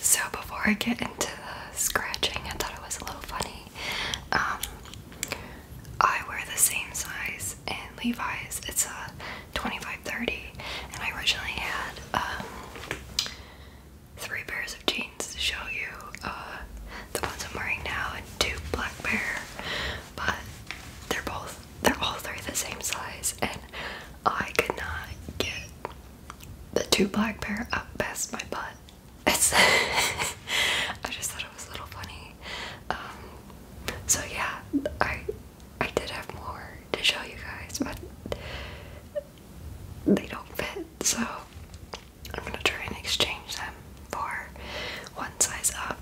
so before I get into the scratching, I thought it was a little funny. Um, I wear the same size in Levi's. It's a 25-30, and I originally had um, three pairs of jeans to show you. Uh, the ones I'm wearing now and two black bear, but they're both they're all three the same size, and I could not get the two black pair up past my butt. I just thought it was a little funny. Um, so yeah, I I did have more to show you guys, but they don't fit, so I'm gonna try and exchange them for one size up.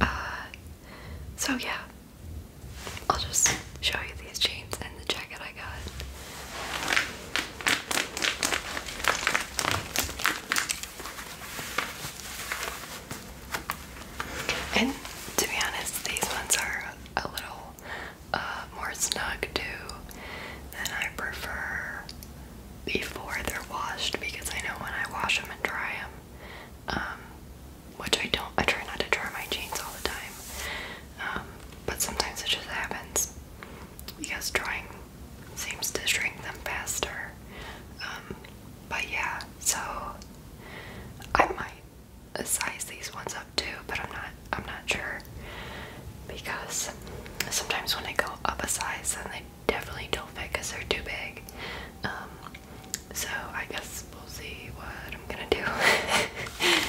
Uh, so yeah, I'll just show you these jeans and the jacket I got. And to be honest, these ones are a little uh, more snug too, and I prefer before they're washed because I know when I wash them and dry them, um, which I don't. I try not to draw my jeans all the time, um, but sometimes it just happens because drawing seems to shrink them faster. Um, but yeah, so I might size these ones up too, but I'm not. I'm not sure because sometimes when I go up a size, then they definitely don't fit because they're too big. So I guess we'll see what I'm gonna do.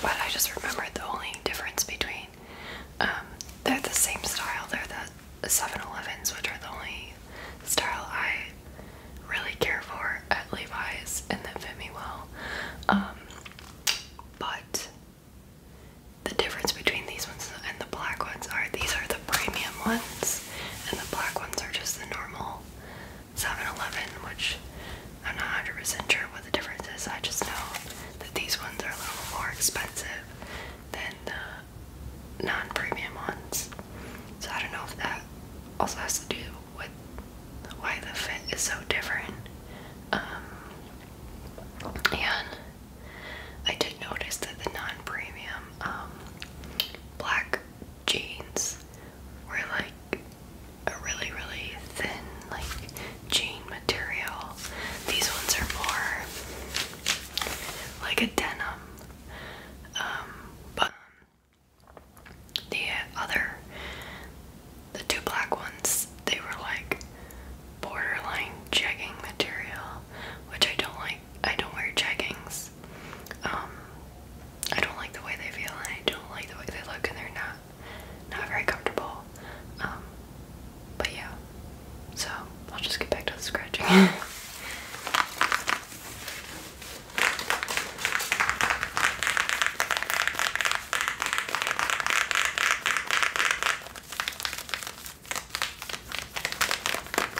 But I just remembered the only difference between um, they're the same style, they're the 7-Elevens, which are the only style I really care for at Levi's and that fit me well. Um, but the difference between these ones and the black ones are these are the premium ones and the black ones are just the normal 7 Eleven, which I'm not 100% sure what the difference is. I just know that these ones are a little more expensive than the non premium ones. So I don't know if that also has to do with why the fit is so different. Um, and I did notice that the non premium um, black jeans were like a really, really thin, like jean material. These ones are more like a denim. Um, but the other, the two black ones, they were like borderline jegging material, which I don't like I don't wear jeggings. Um, I don't like the way they feel, and I don't like the way they look, and they're not not very comfortable. Um, but yeah, so I'll just get back to the scratching.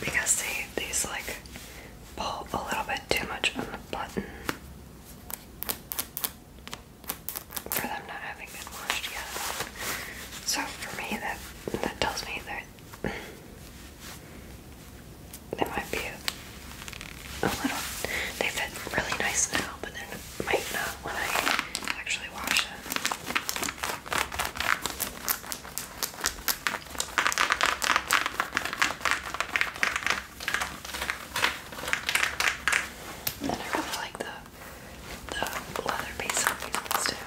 Because they, these like pull a little bit too much on the button for them not having been washed yet. So for me, that that tells me that it. That might be a, little. They fit really nice now, but then might not when I actually wash them. And I really like the the leather piece on these ones too.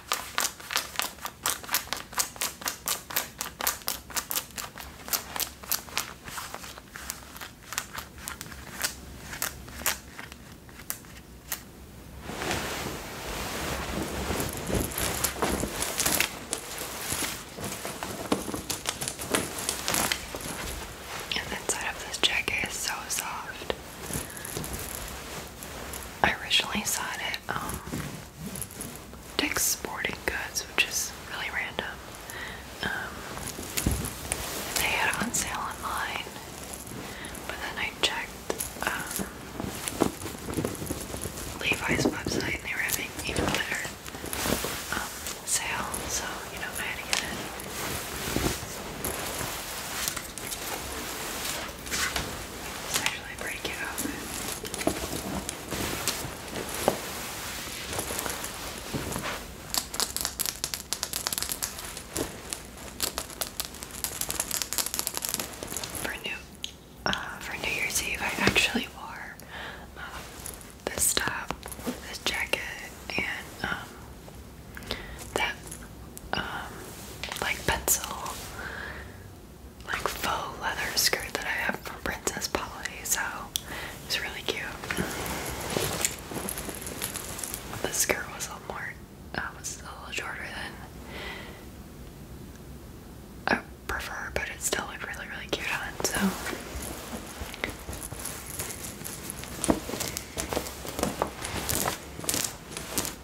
And the inside of this jacket is so soft. I originally saw it at um, Dick's Sporting Goods, which is really random. Um, they had it on sale online, but then I checked um, Levi's website and they were having even better sale, so you know I had to get it. Uh, for new, Year's Eve, I actually wore um, this top, this jacket, and um, that um, like pencil like faux leather skirt that I have from Princess Polly, so it's really cute. The skirt was a little more uh, was a little shorter than I prefer, but it still looked really really cute on, so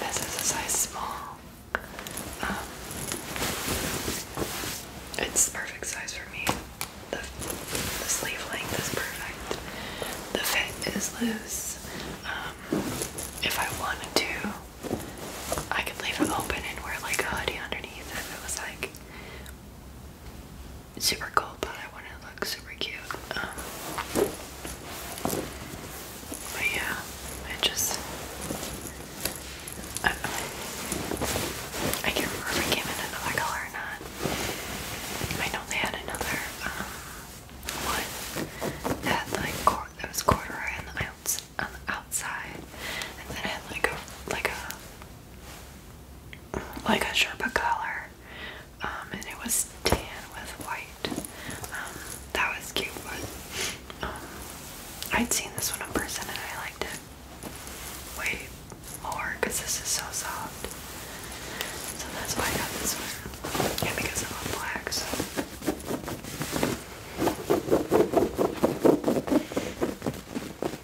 This is a size small. Um, it's the perfect size for me. The, sleeve length is perfect. The fit is loose. Um, if I wanted to, I could leave it open and wear like a hoodie underneath if it was like super cold, but I want to look super cute. Um, but yeah, I just. I, can't remember if it came in another color or not. I know they had another um, one that had like that was corduroy on the, outside, and then had like a like a like a Sherpa color um, and it was tan with white. Um, that was cute, um, I'd seen this one in person and I liked it way more because this is so soft. So that's why I got this one, yeah, because I love black.